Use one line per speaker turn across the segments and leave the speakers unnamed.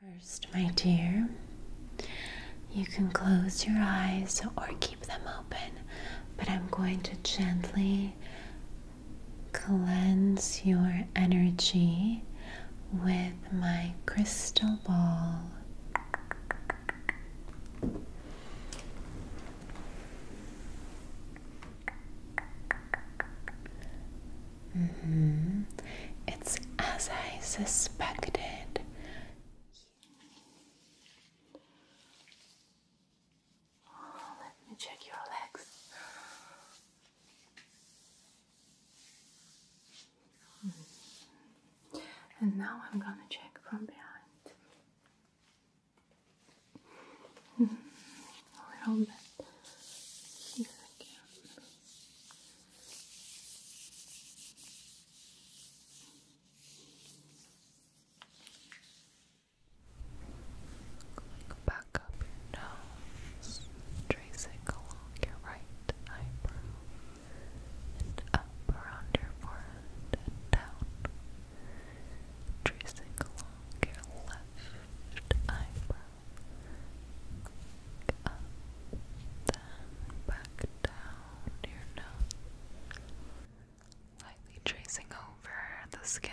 First, my dear, you can close your eyes or keep them open, but I'm going to gently cleanse your energy with my crystal ball. -hmm. It's as I suspected. Oh, let me check your legs. Mm-hmm. And now I'm gonna check from behind. A little bit here again. Going back up your nose, tracing along your right eyebrow and up around your forehead and down, tracing along your left eyebrow, up, then back down your nose, lightly tracing over the skin.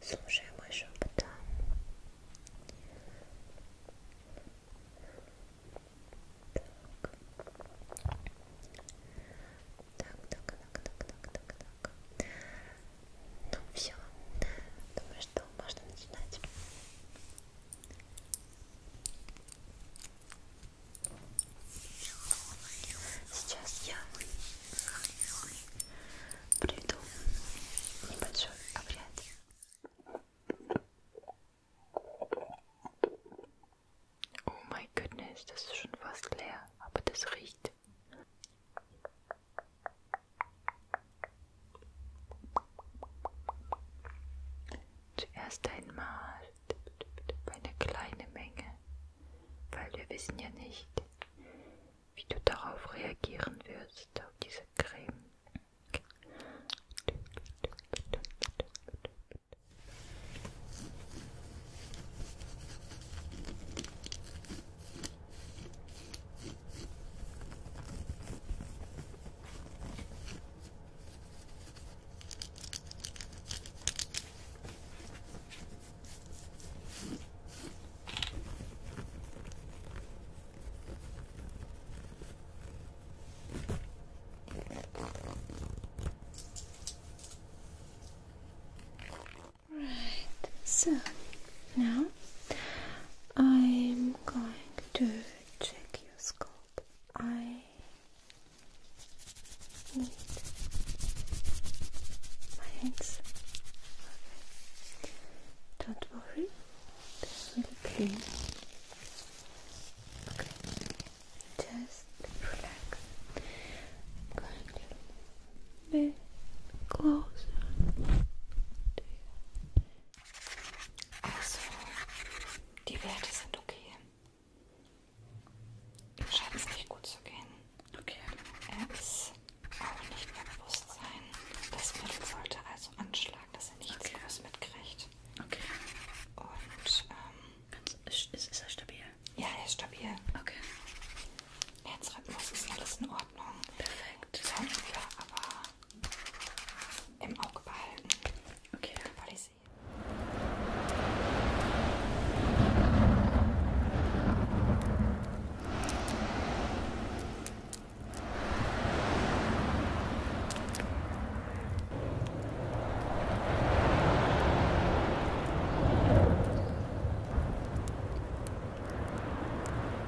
Слушай мой шепот, да. Так. Так, так, так, так, так, так, так. Ну все. Думаю, что можно начинать. Сейчас я проведу небольшой обряд. Oh my goodness, das ist schon fast leer, aber das riecht. Zuerst einmal eine kleine Menge, weil wir wissen ja nicht, wie du darauf reagieren wirst, auf diese Creme. Right, so now I'm going to check your skull. I need my hands. Don't worry, they're Okay, just relax. I'm going bit closer. To you. Also, Die Werte sind okay. Ihm scheint es nicht gut zu gehen. Okay. Er ist auch nicht mehr Bewusstsein. Das Mittel sollte also anschlagen, dass er nichts okay. groß mitkriegt. Okay. Und ähm, Ganz, ist, ist er stabil? Ja, er ist stabil. Okay. Herzrhythmus ist alles in Ordnung. Perfekt. Sonst aber im Auge behalten. Okay, weil ich sehe.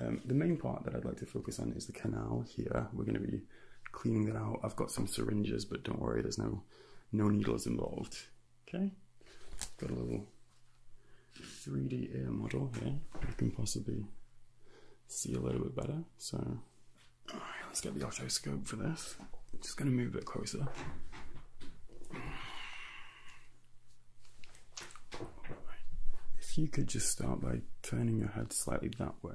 Um, the main part that I'd like to focus on is the canal here. We're going to be cleaning that out. I've got some syringes, but don't worry, there's no no needles involved. Okay, got a little 3D air model here, we can possibly see a little bit better. So let's get the otoscope for this. Just going to move a bit closer. If you could just start by turning your head slightly that way.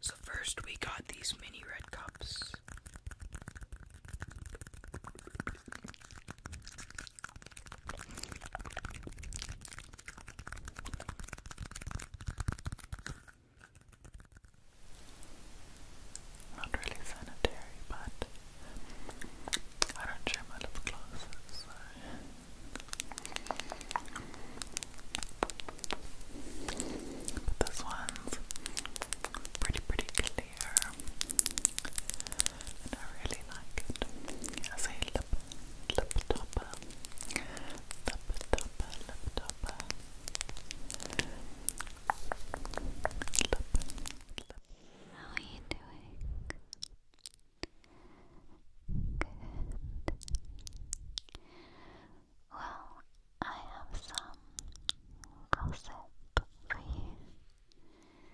So, first, we got these mini red cups. Not really sanitary, but I don't share my lip glosses, so. this one's pretty, pretty clear and I really like it as a lip, lip topper lip topper, lip topper lip how are you doing? good well, I have some gossip for you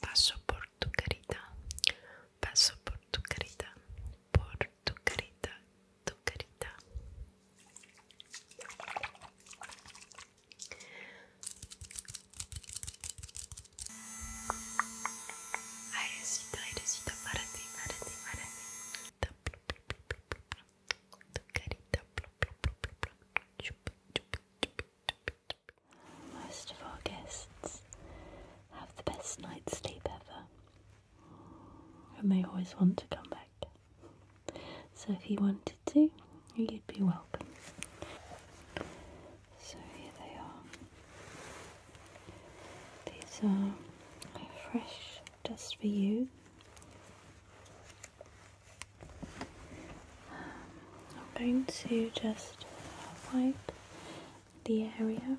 Passo por tu querida, passo por tu querida, por tu querida, tu querida. Airecita, airecita para ti, para ti, para ti. Tá, tu Most of our guests have the best night's sleep ever, and they always want to come back. So, if you wanted to, you'd be welcome. So, here they are. These are fresh just for you. I'm going to just wipe the area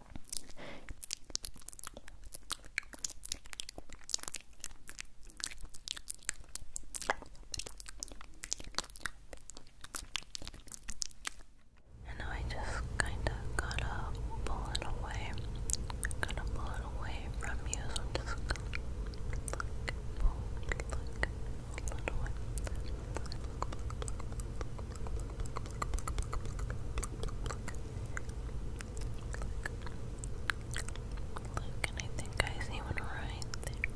And I just kind of gotta pull it away. Gotta pull it away from you, so I'm just gonna look, pull, look, pull it away. Look, look, look, look, look, Look, and I think I see one right there.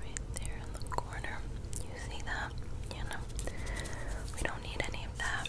Right there in the corner. You see that? You we don't need any of that.